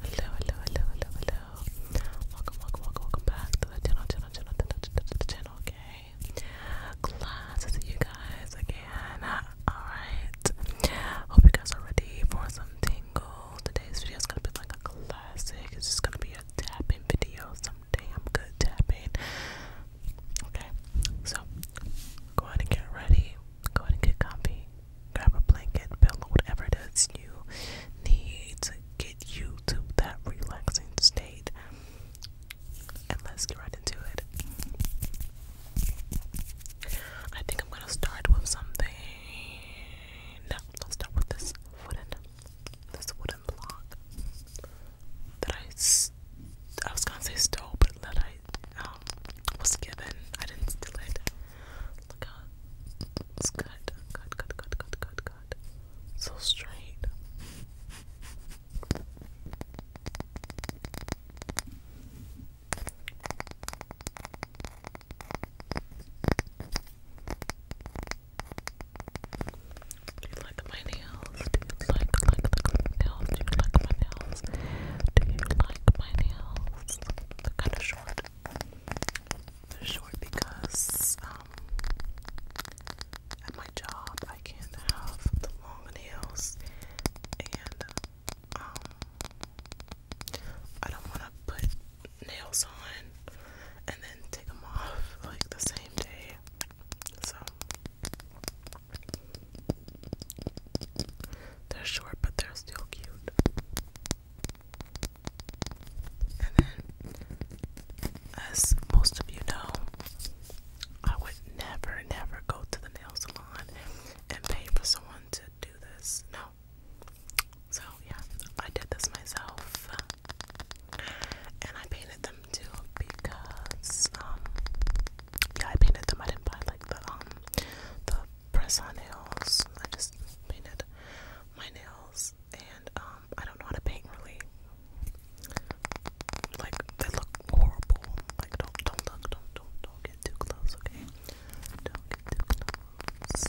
Hello, hello, hello, hello, hello. Welcome, welcome, welcome, welcome back to the channel, channel, channel, channel, to the channel, okay? Glad to see you guys again. Alright. Hope you guys are ready for some tingles. Today's video is gonna be like a classic. It's just gonna be a tapping video. Someday I'm good tapping. Okay, so go ahead and get ready. Go ahead and get comfy grab a blanket, pillow, whatever it is you need to get you to that relaxing state. And let's get right into it. I think I'm gonna start with something. let's start with this wooden, this wooden block that I, I was gonna say stole, but that I um, was given. I didn't steal it. Look how it's good. Good, good, good, good, good, good. So straight. Do you like my nails? Do you like, like, like my nails? Do you like my nails? Do you like my nails? They're kind of short. They're short because um, at my job I can't have the long nails, and um, I don't want to put nails on and then take them off like the same day. So they're short, but they're still cute. And then, as most of you know, I would never, never go to the nail salon and pay for someone to do this. No. So, yeah, I did this myself. And I painted them too because, um, yeah, I painted them. I didn't buy like the, um, the press on nails. I just painted my nails, and um, I don't know how to paint really. Like they look horrible. Like don't don't look don't don't don't get too close, okay? Don't get too close.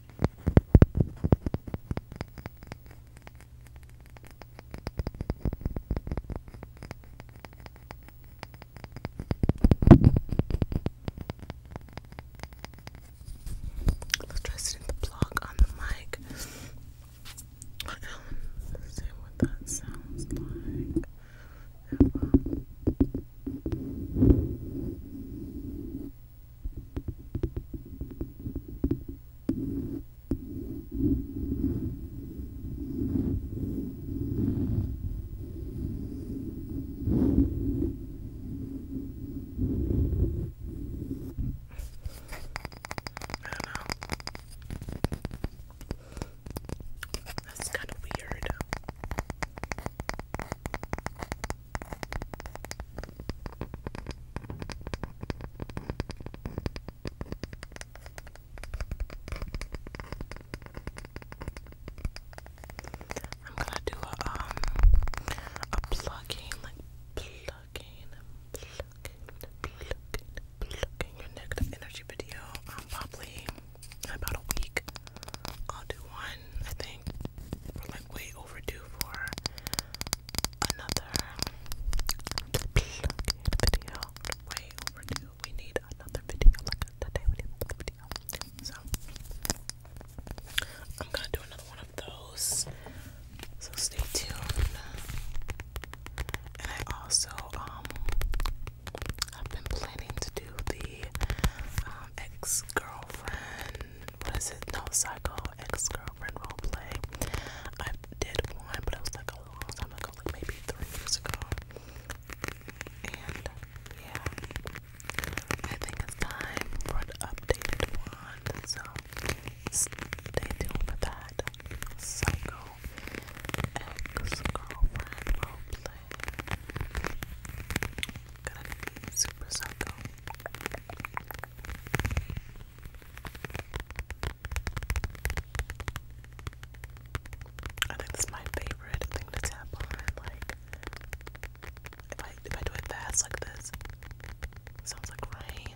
Let's try sitting the block on the mic. Um, let's see what that sounds like. Yeah, well. That's kind of weird. I'm gonna do a um a plucking like plucking plucking plucking your negative energy video um probably about a week. I'll do one I think we're like way overdue for another video. Way overdue. We need another video. Like oh today we video. So I'm gonna do another one of those. So stay tuned. And I also um I've been planning to do the um, ex-girlfriend what is it? No, Psycho Ex Girlfriend Roleplay. I did one, but it was like a long time ago, like maybe three years ago. And yeah, I think it's time for an updated one. So stay tuned for that. Psycho Ex Girlfriend Roleplay. Gonna be super psycho. I think this is my favorite thing to tap on. Like, if I if I do it fast like this, sounds like rain.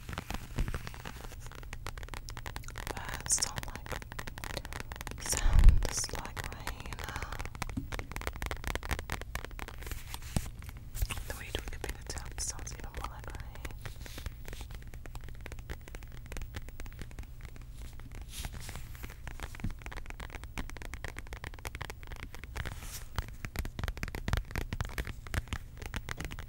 Birds do like sounds like rain. The way we could pick it sounds even more like rain.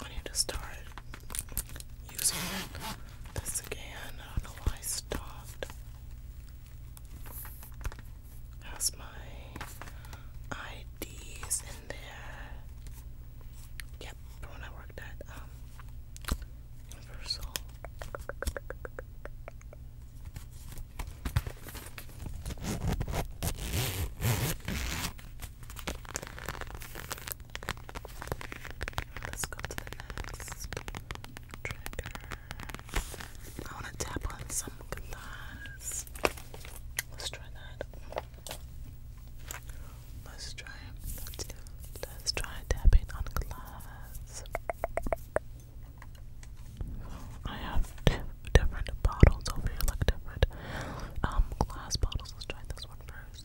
I need to start using this again. I don't know why I stopped. Has my IDs in there? Yep, from when I worked at um, Universal. Let's go to the next trigger. I want to tap on some glass. Let's try that. Let's try. Let's, let's try tapping on glass. I have different bottles over here, like different um, glass bottles. Let's try this one first.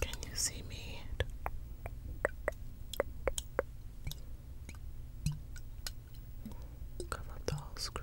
Can you see me? Cover up the screen.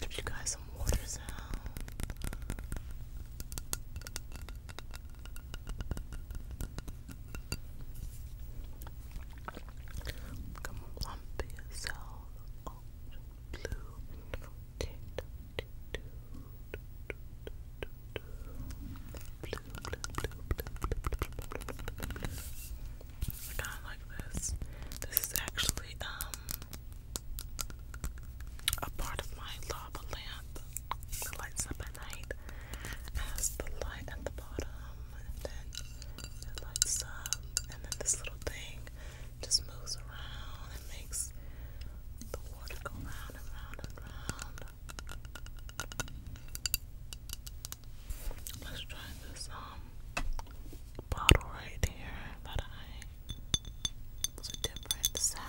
Give you guys some water sound. Come lump blue, Blue, blue, blue, blue, kind of like this. This is actually um a part of my lava lamp that lights up at night. It the light at the bottom and then it lights up, and then this little thing just moves around and makes the water go round and round and round. Let's try this um bottle right here that I it's a different sound.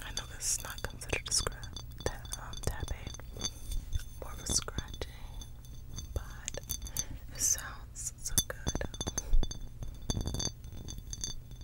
I know this is not considered a scratch, um, tapping, more of a scratching, but it sounds so good.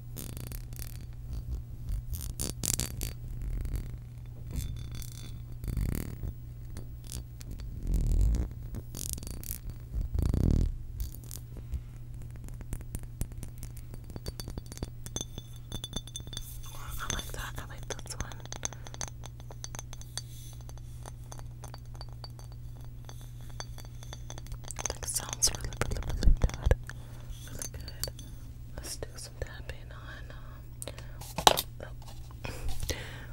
I like that. I like this one. like, sounds really, really, really good. Really good. Let's do some tapping on. Um,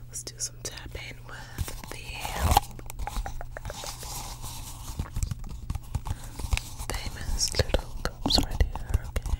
let's do some tapping with the famous little cups right here. Okay.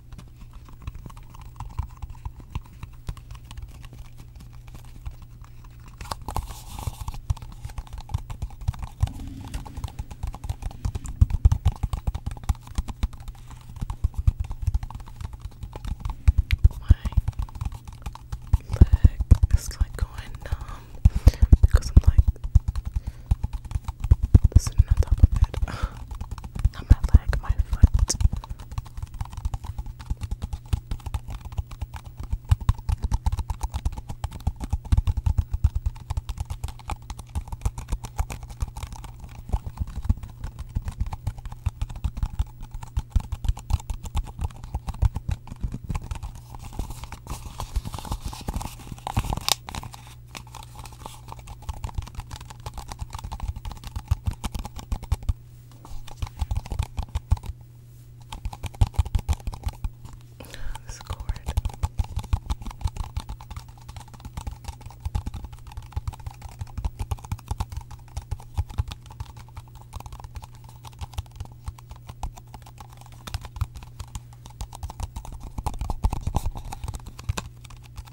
leg is like going numb because I'm like sitting on top of it. Not my leg, my foot. This cord.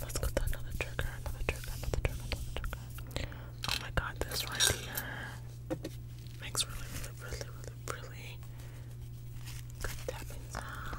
Let's go another trigger, another trigger, another trigger, Oh my god, this right here makes really, really, really, really, good tapping sound.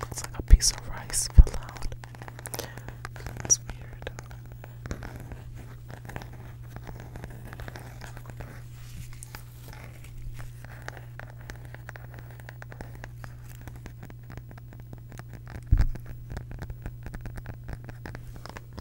Looks like a piece of rice fell out. weird.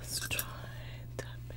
Let's try tapping.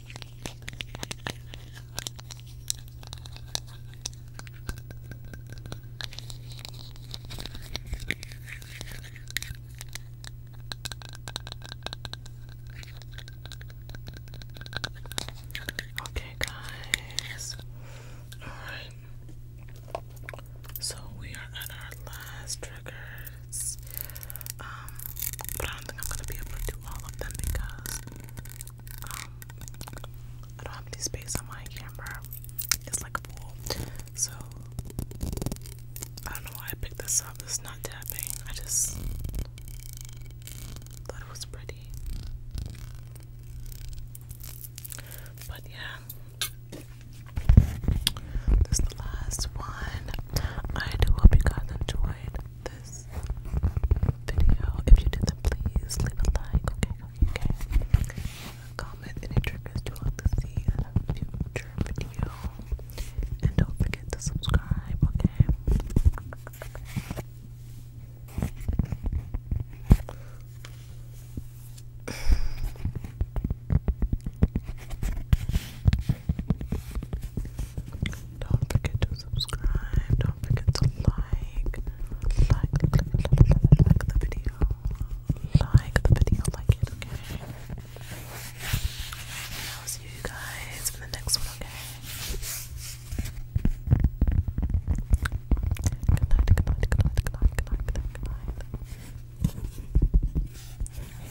Okay, guys. All right. So we are at our last triggers. Um, but I don't think I'm gonna be able to all of them because um, I don't have any space on my camera. It's like a pool. So I don't know why I picked this up. It's not tapping. I just thought it was pretty. But yeah. This is the last one. I do hope you guys enjoyed this video. If you did, then please leave a like. Okay, okay, Comment any triggers you want to see in a future video, and don't forget to subscribe. Okay. Don't forget to subscribe. Don't forget to like. Like, the video. Like the video. Like it, I'll see you guys in the next one, okay? Good night, good night, good night, good night, good night, good night, good night.